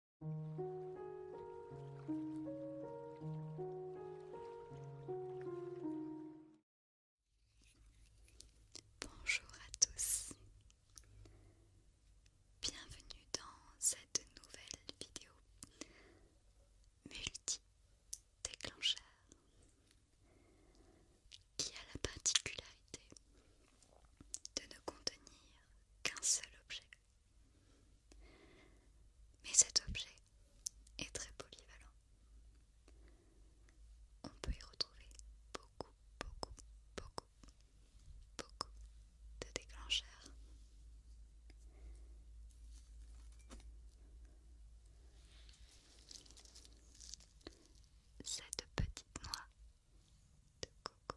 Bonjour à tous, bienvenue dans cette nouvelle vidéo multi-déclencheur qui a la particularité de ne contenir qu'un seul objet. Mais cet objet est très polyvalent. On peut y retrouver beaucoup, beaucoup, beaucoup, beaucoup de déclencheurs. Cette petite noix de coco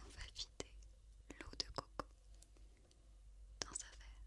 On va vider l'eau de coco dans un verre.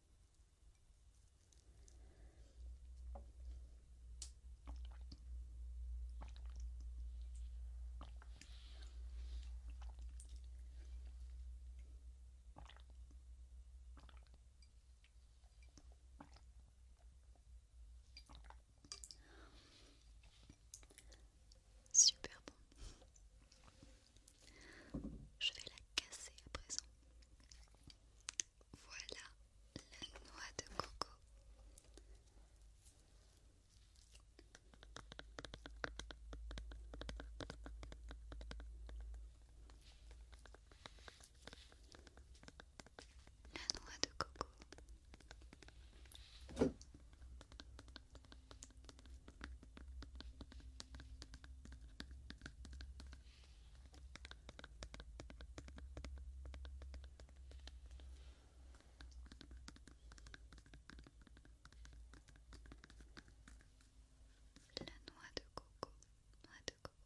Super bon. Je vais la casser à présent. Voilà la noix de coco. La noix de coco. La noix de coco, noix de coco.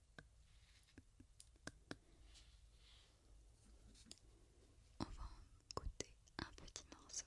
On va en goûter un petit morceau.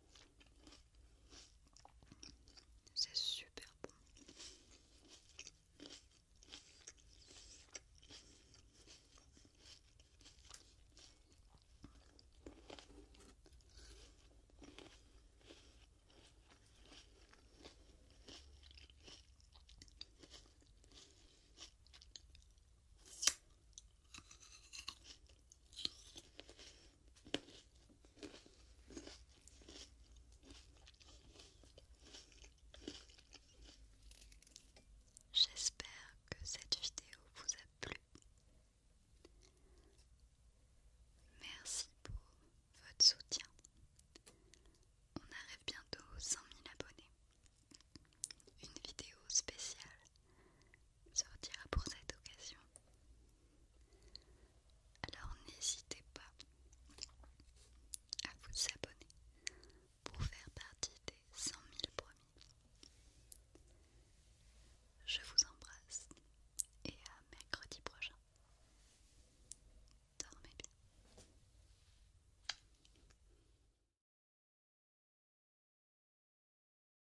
C'est super bon. J'espère que cette vidéo vous a plu. Merci pour votre soutien. On arrive bientôt aux 100 000 abonnés. Une vidéo spéciale sortira pour cette occasion. Alors n'hésitez pas à vous abonner pour faire partie des 100 000 premiers. Je vous embrasse et à mercredi prochain. Dormez bien.